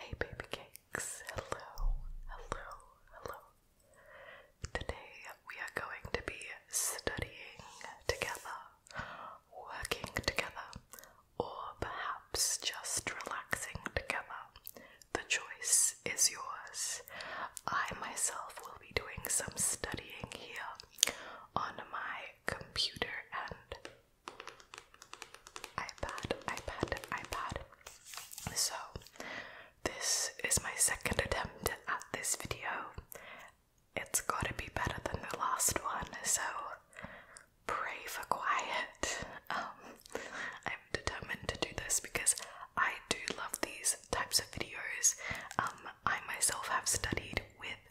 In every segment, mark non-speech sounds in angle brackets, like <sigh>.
Hey baby cakes, hello, hello, hello. Today we are going to be studying together, working together, or perhaps just relaxing together. The choice is yours. I myself will be doing some studying here on my computer and iPad, iPad, iPad. So, this is my second attempt at this video. It's gotta be better than the last one, so pray for quiet. Um, I'm determined to do this because I do love these types of videos. Um, I myself have studied with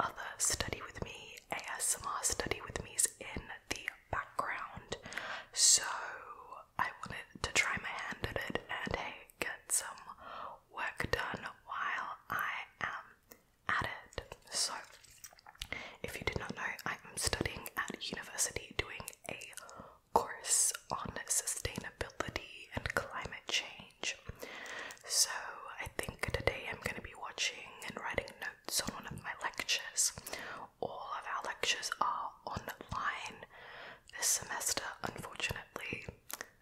other Study With Me, ASMR Study With Me's in the background. So I wanted to try my hand at it and hey, get some work done while I am at it. So, if you did not know, I am studying at university doing a course on sustainability and climate change. So, I think today I'm going to be watching and writing notes notes one of my lectures. All of our lectures are online this semester, unfortunately.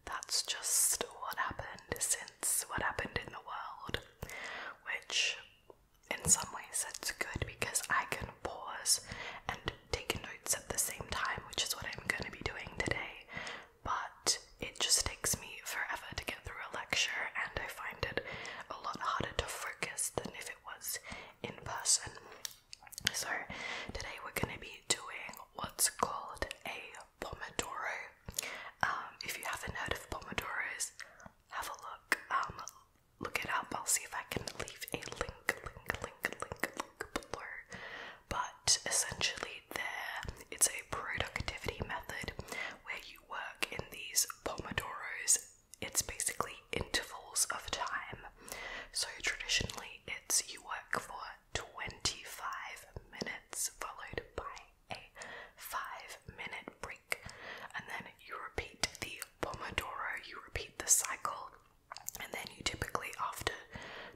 That's just what happened since what happened in the world, which in some ways that's good because I can pause and take notes at the same time, which is what I'm going to be doing today. But it just takes me forever to get through a lecture, and I find it a lot harder to focus than if it was in person. So, today we're going to be doing what's called a Pomodoro. Um, if you haven't heard of Pomodoros, have a look. Um, look it up. I'll see if I can leave a link, link, link, link, link below. But essentially, it's a productivity method where you work in these Pomodoro's. It's basically intervals of time. So traditionally, it's you work for 25 minutes followed by a 5 minute break, and then you repeat the Pomodoro, you repeat the cycle, and then you typically, after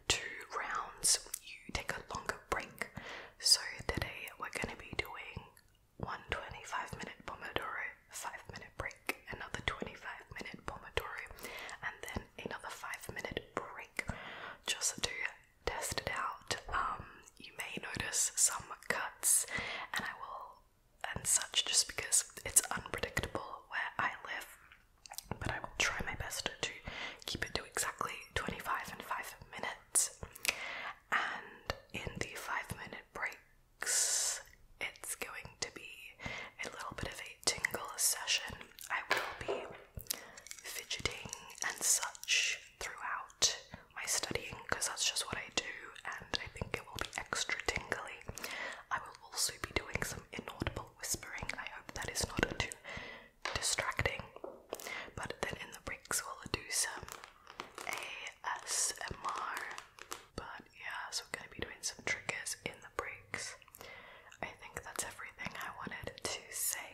two rounds, you take a longer break. So today, we're going to be doing one 25 minute Pomodoro, 5 minute break, another 25 minute Pomodoro, and then another 5 minute break just to test it out. Um, you may notice some cuts, and I will, and such, just because it's unpredictable where I live. But I will try my best to keep it to exactly 25 and 5 minutes and in the five minute breaks, it's going to be a little bit of a tingle session. I will be fidgeting and such throughout my studying because that's just what I do, and I think it will be extra tingly. I will also be doing some inaudible whispering. I hope that is not too distracting. But then in the breaks, we'll do some ASMR. But yeah, so we're gonna be doing some triggers in the breaks. I think that's everything I wanted to say.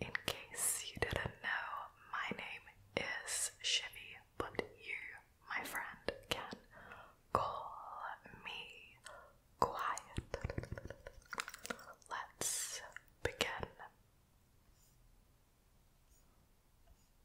In case you didn't know, my name is Shivy, but you, my friend, can call me Quiet. Let's begin.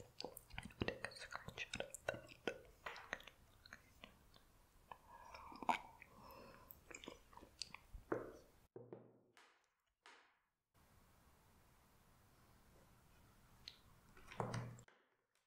And we'll take a screenshot of that.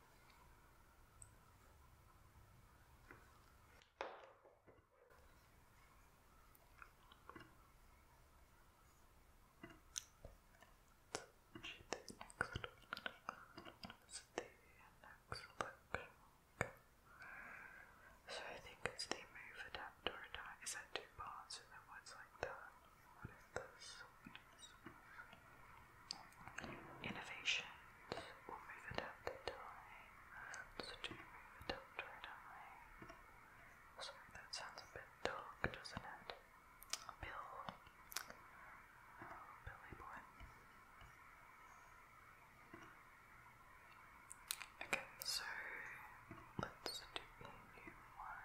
next one So I think it's the move adapter die. Is that two parts and then one's like that? Innovation. will move it up the time. So do you move it to a Sorry, that sounds a bit dark, doesn't it? bill. Oh, Billy boy. Okay, so let's do a new one.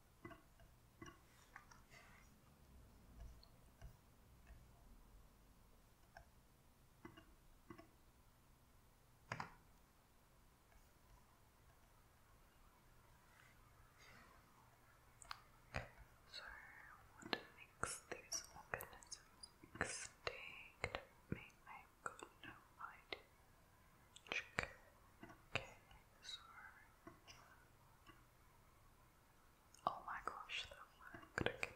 So, what makes these organisms extinct? Me, i got no idea. Check. Okay, sorry. Oh my gosh, that one could be perfect.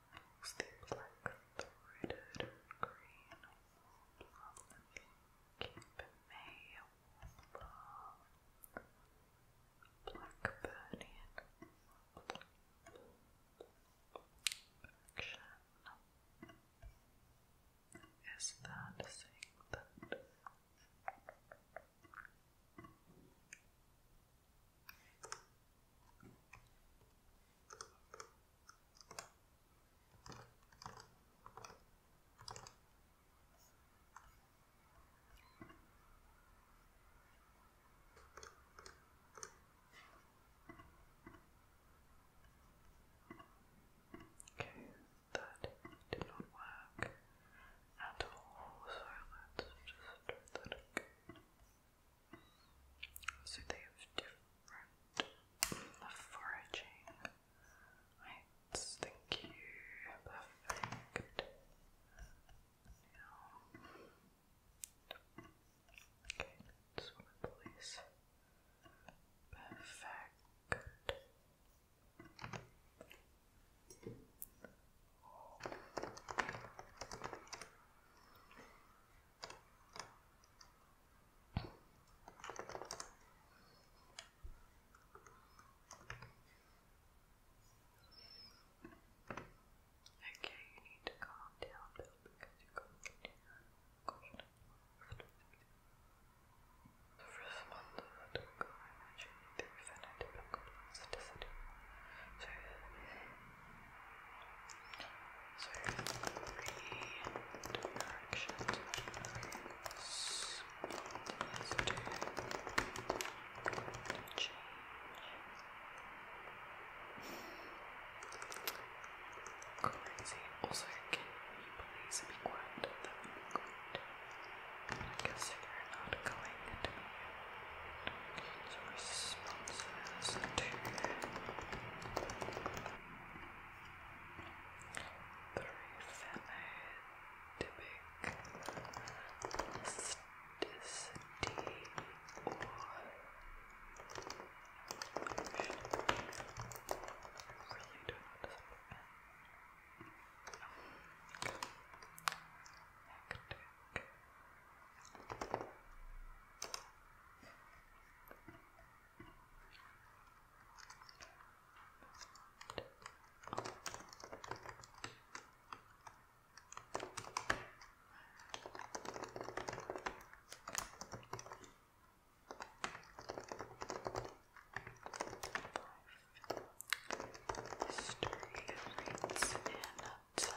Animals there like threaded green wool keep me warm. Blackburnian action. Is that saying that? Okay, that did not work at all, so let's just do that again. So they have different foraging. Heights, thank you. Perfect. Now, okay, let Perfect. Okay, you need to calm down, Bill, because you're going to do that. The first month of the talk, I imagine the definitive So, so three directions. So two. Also, can you please be quiet? That would are not going to be so responses to Three phenotypic plasticity really don't Hectic. History of rates time.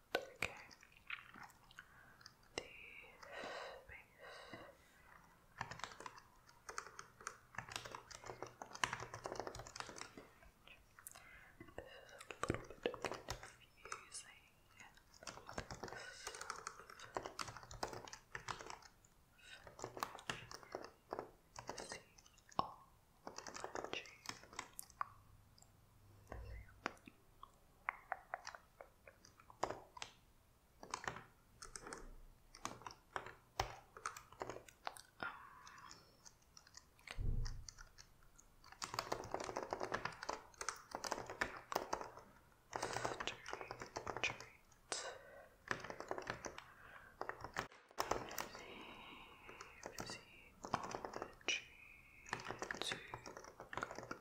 not okay. The space. This is a little bit confusing. See all the cheese. Physiology to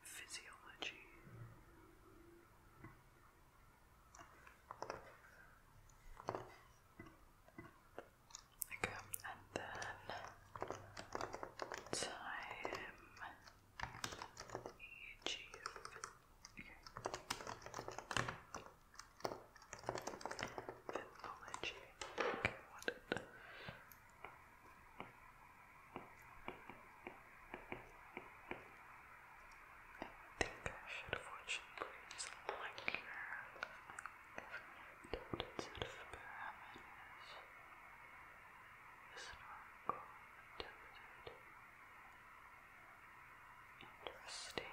physiology. Okay, and then time EG. Okay. Phenology. Okay, I think I should have watched like her. I've told it to the Bahamas. Historical attempted. Interesting.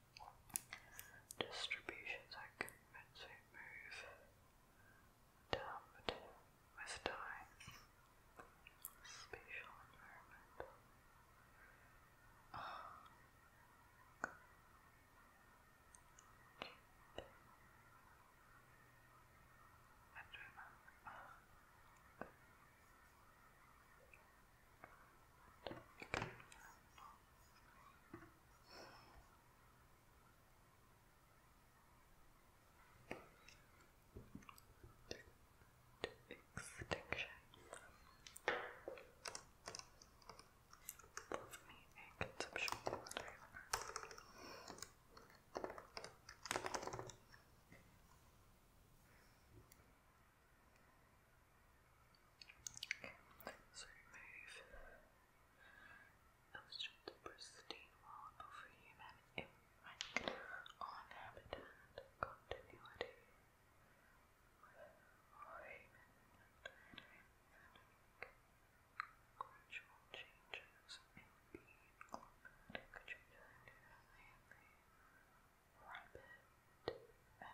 Distributions are convincing move dumbed with time. Spatial environment. I don't know. Extinction. Love me a conceptual so remove illustrate the pristine world of human impact on habitat continuity. Or gradual changes in climatic rapid and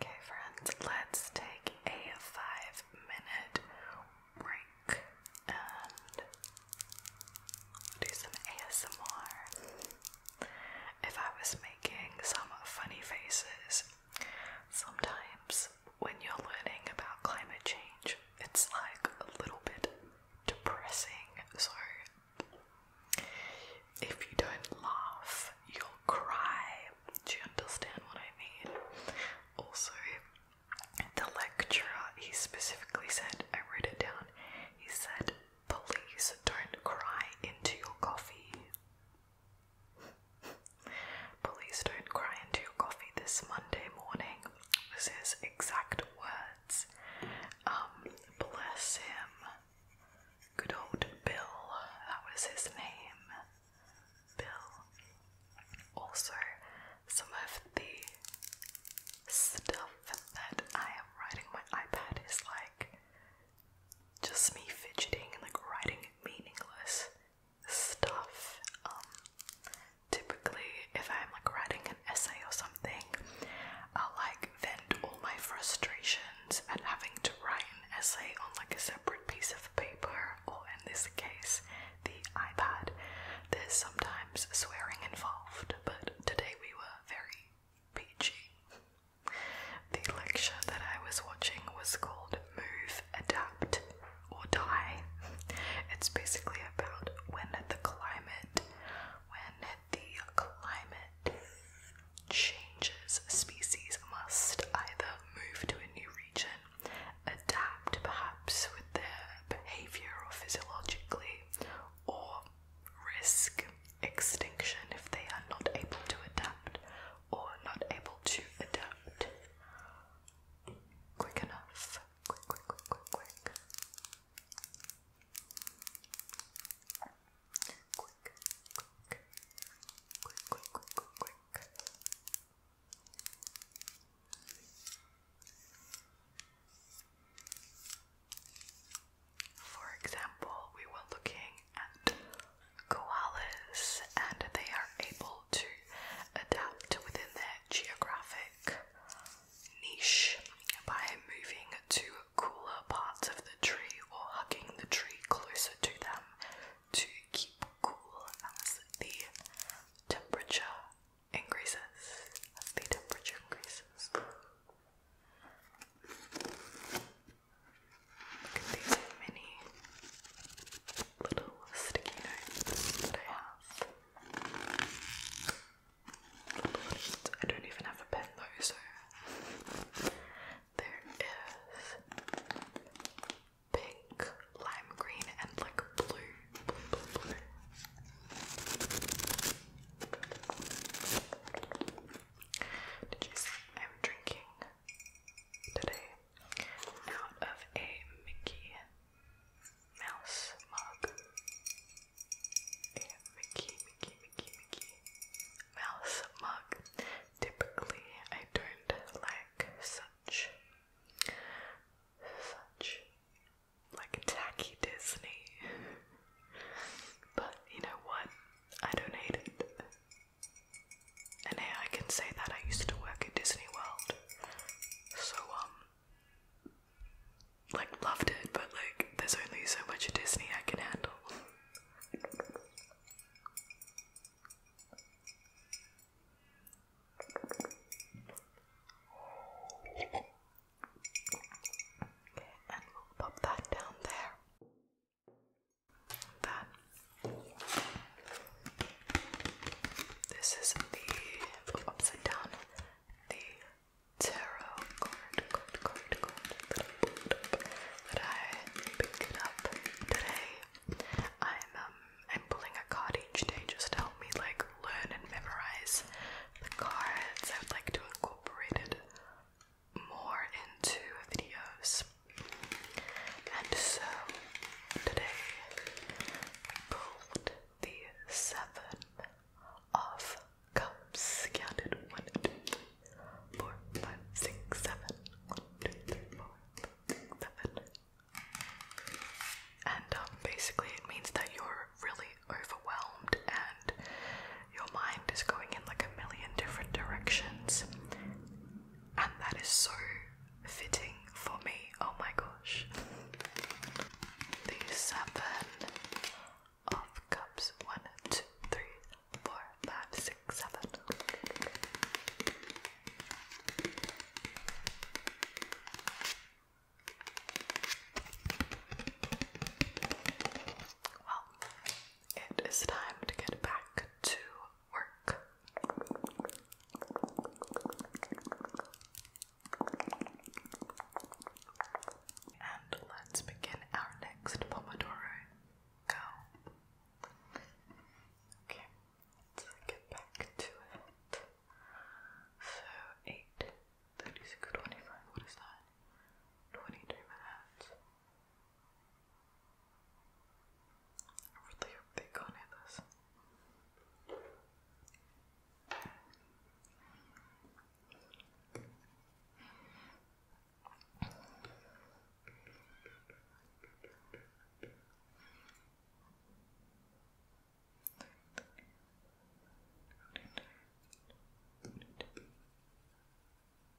Okay, friends, let's take a five minute break and do some ASMR. If I was making some funny faces, sometimes when you're learning about climate change, it's like a little bit depressing. So if you don't laugh, you'll cry. Do you understand what I mean? Also, the lecturer, he specifically said, I wrote it down, he said, Please don't cry into your coffee. <laughs> Please don't cry into your coffee this Monday morning. This is exact words. Um, bless him. Good old Bill, that was his name. Bill. Also, some of the stuff that I am writing my iPad is like just me fidgeting and like writing meaningless stuff. Um, typically, if I'm like writing an essay or something, i like vent all my frustrations at having to write an essay on like a separate piece of paper, or in this case, the iPad. There's sometimes swearing involved, but today we were very PG. The lecture that I was watching was called Move, Adapt, or Die. It's basically about when the climate, when the climate changes, species must either move to a new region, adapt perhaps with their behavior or physiologically, or risk extinction if they are not able to adapt or not able to adapt quick enough. Quick, quick, quick, quick, quick. Quick, quick, quick, quick, quick, quick, quick. For example, we were looking at koalas and they are able to adapt within their geographic niche by moving to cooler parts of the tree or hugging the tree closer to them to keep cool as the temperature increases. As the temperature increases these mini little sticky notes that I have. I don't even have a pen though, so there is pink, lime green, and like blue, blue, blue. Did you see? I'm drinking today out of a Mickey Mouse mug. A Mickey, Mickey, Mickey, Mickey Mouse mug. Typically, I don't like such, such like tacky Disney but you know what? I don't hate it. And hey, I can say that I used to work at Disney World. So, um, like, loved it, but like, there's only so much Disney I can handle. Okay, and we'll pop that down there. That. This is the upside down, the tarot card, card, card, card that I picked up today. I'm um I'm pulling a card each day just to help me like learn and memorize the cards. I would like to incorporate it more into videos. And so today pulled the seven of cups. Counted one, two, three, four, five, six, seven. And um, basically, it means that you're really overwhelmed and your mind is going in like a million different directions. And that is so fitting for me. Oh my gosh. The seven of cups. One, two, three, four, five, six, seven. Well, it is time to get back to work. And let's begin our next Pomodoro. Go. Okay, let's get back to it. So, 8, 36, 25, what is that? 23 minutes. I really hope they can't hear this.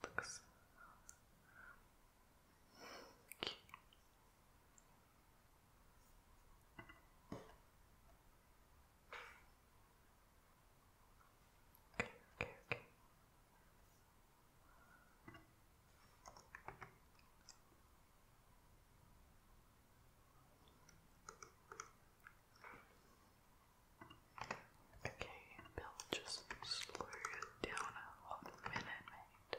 так само. Okay, okay, okay. Okay, Bill, just slow it down a minute, mate.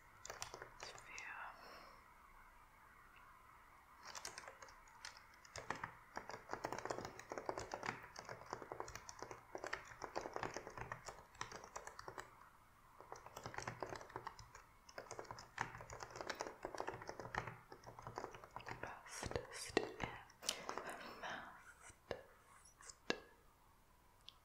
this view. Fastest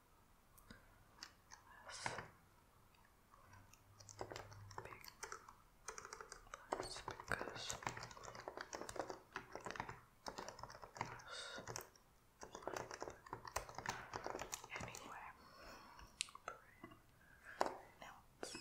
less big because less anyway pronounced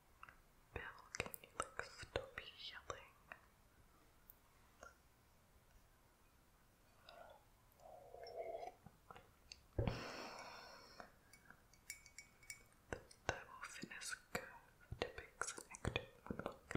Bill, can you like stop yelling? The thermal fitness curve depicts an active unlocked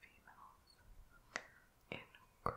Females in Greece. let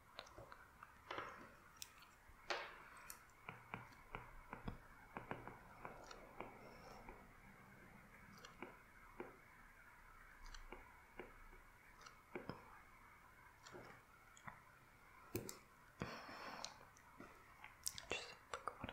Just forgot about it.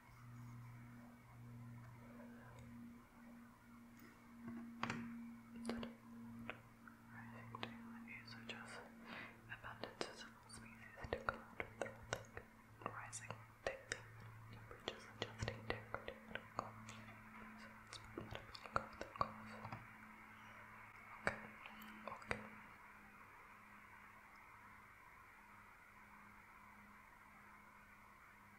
Rectangle is just abundances of all species to collide with rising thick bridges adjusting decorative and So it's probably golf the golf. okay. Okay.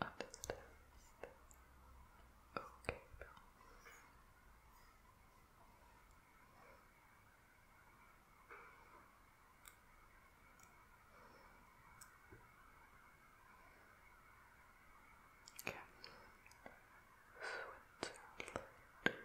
Understand. Okay. Okay. Switzerland.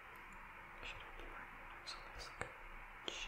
Should I be wearing boots on this coach?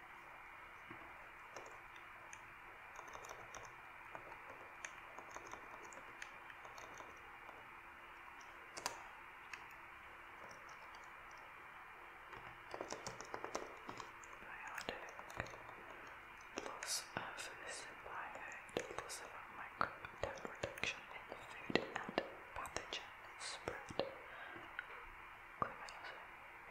Biotic loss of symbiote, loss of microbe reduction in food and pathogen spread.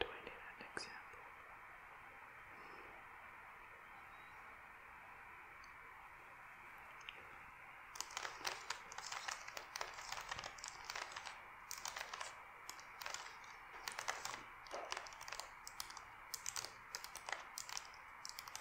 Do I need an example?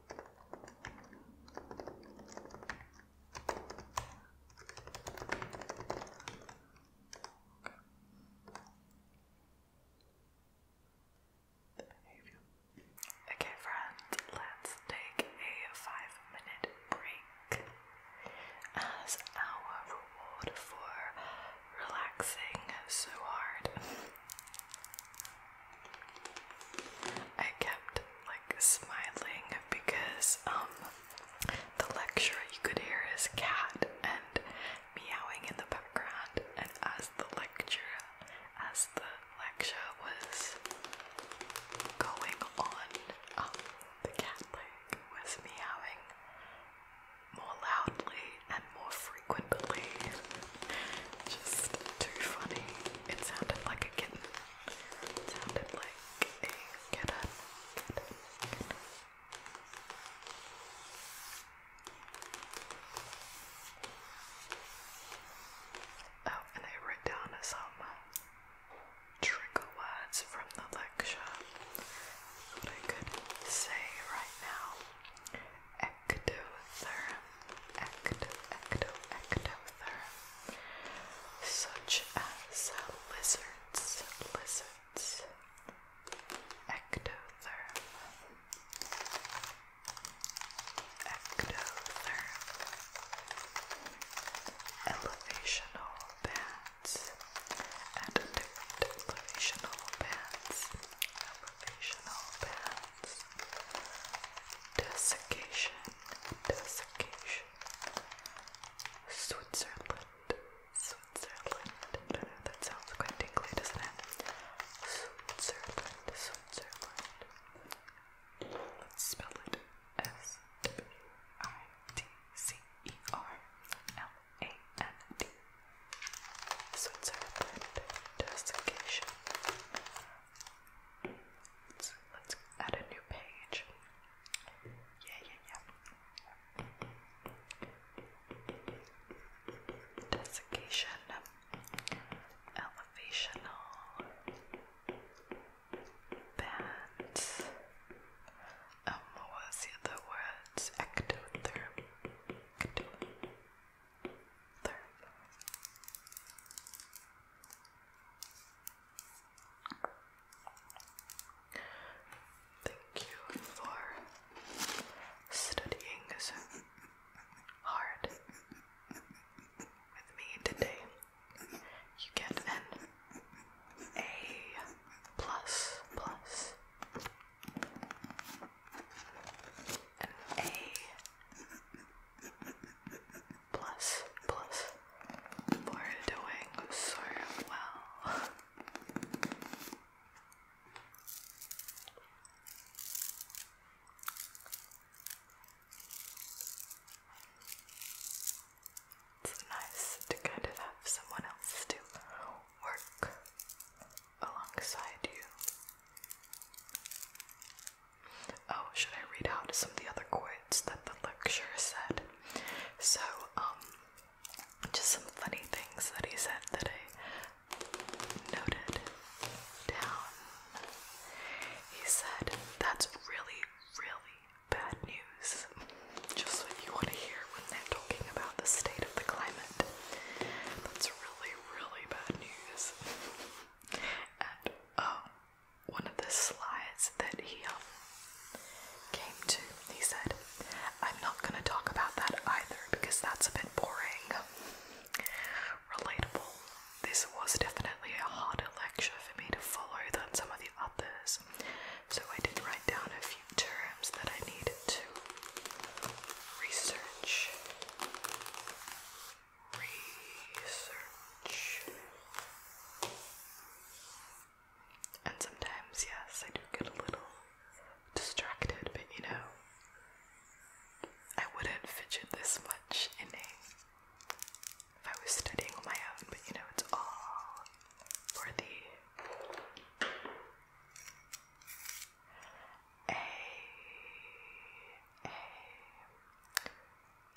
Okay, friends, let's take a five minute break as our reward for relaxing so hard. I kept like smiling because um the lecturer you could hear his cat and meowing in the background and as the lecture as the lecture was going on um the cat was meowing more loudly and more frequently just too funny. It sounded like a kitten. sounded like a kitten. Oh, and I wrote down some trigger words from the lecture that I could say right now. Ectotherm, ecto, such as lizards, lizards, ectotherm, ectotherm, elevational bands, and elevational bands, elevational bands. Desiccation, desiccation. Switzerland, Switzerland. that sounds quite tingly, doesn't it? Switzerland, Switzerland. Let's spell it S W I T C E R L A N D. Switzerland, desiccation let's, add a new page. Yeah, yeah, yeah. Desiccation, elevational bands. Um, what the other words? Ectotherm. Thank you for studying so hard with me today. You get an A plus plus. A plus, plus. We're doing so well. It's nice to kind of have someone else to work alongside you. Oh, should I read out some of the other quotes that the lecturer said? So, um, just some funny things that he said that I noted down. He said, That's really, really bad news. Just what you want to hear when they're talking about the state of the climate. That's really, really bad news. and oh, one of the slides that he um, came to, he said, I'm not going to talk about that either because that's a bit boring. Relatable. This was definitely a harder lecture for me to follow than some of the others, so I did write down a few terms that I needed to research research. And sometimes, yes, I do get a little distracted, but you know, I wouldn't fidget this much in a if I was studying on my own, but you know, it's all for the a, a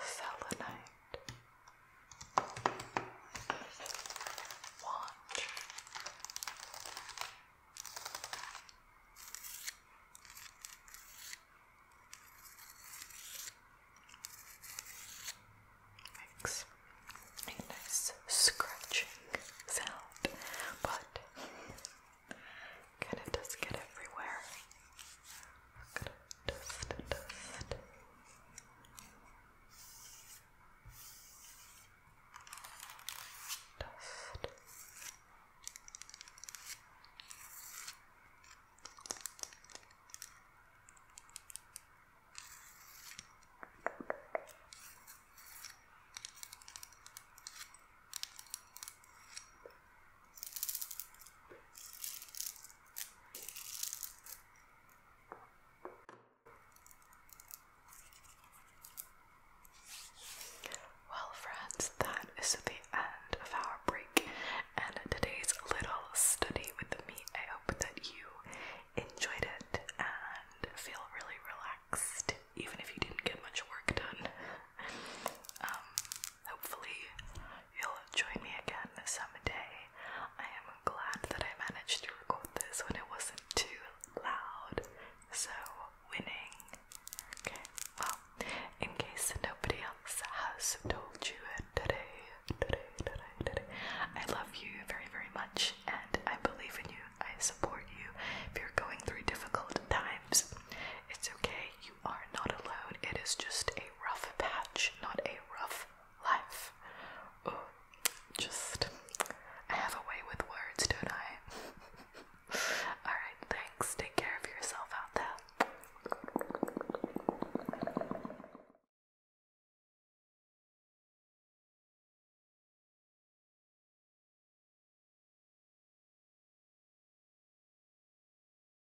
selenite, watch, makes a nice scratching sound, but kind of does get everywhere dust, dust. Dust. Well, friends, that is the end of our break and today's little study with me. I hope that you enjoyed it and feel really relaxed, even if you didn't get much work done. Um, hopefully you'll join me again someday. I am glad that I managed to record this when it wasn't too loud. So winning. Okay, well, in case nobody else has told you it uh, today, today, today, today, I love you very, very much and I believe in you. I support you. If you're going through difficult times, it's okay. You are not alone. It is just a a rough patch, not a rough life. just, I have a way with words, don't I? <laughs> Alright, thanks. Take care of yourself out there.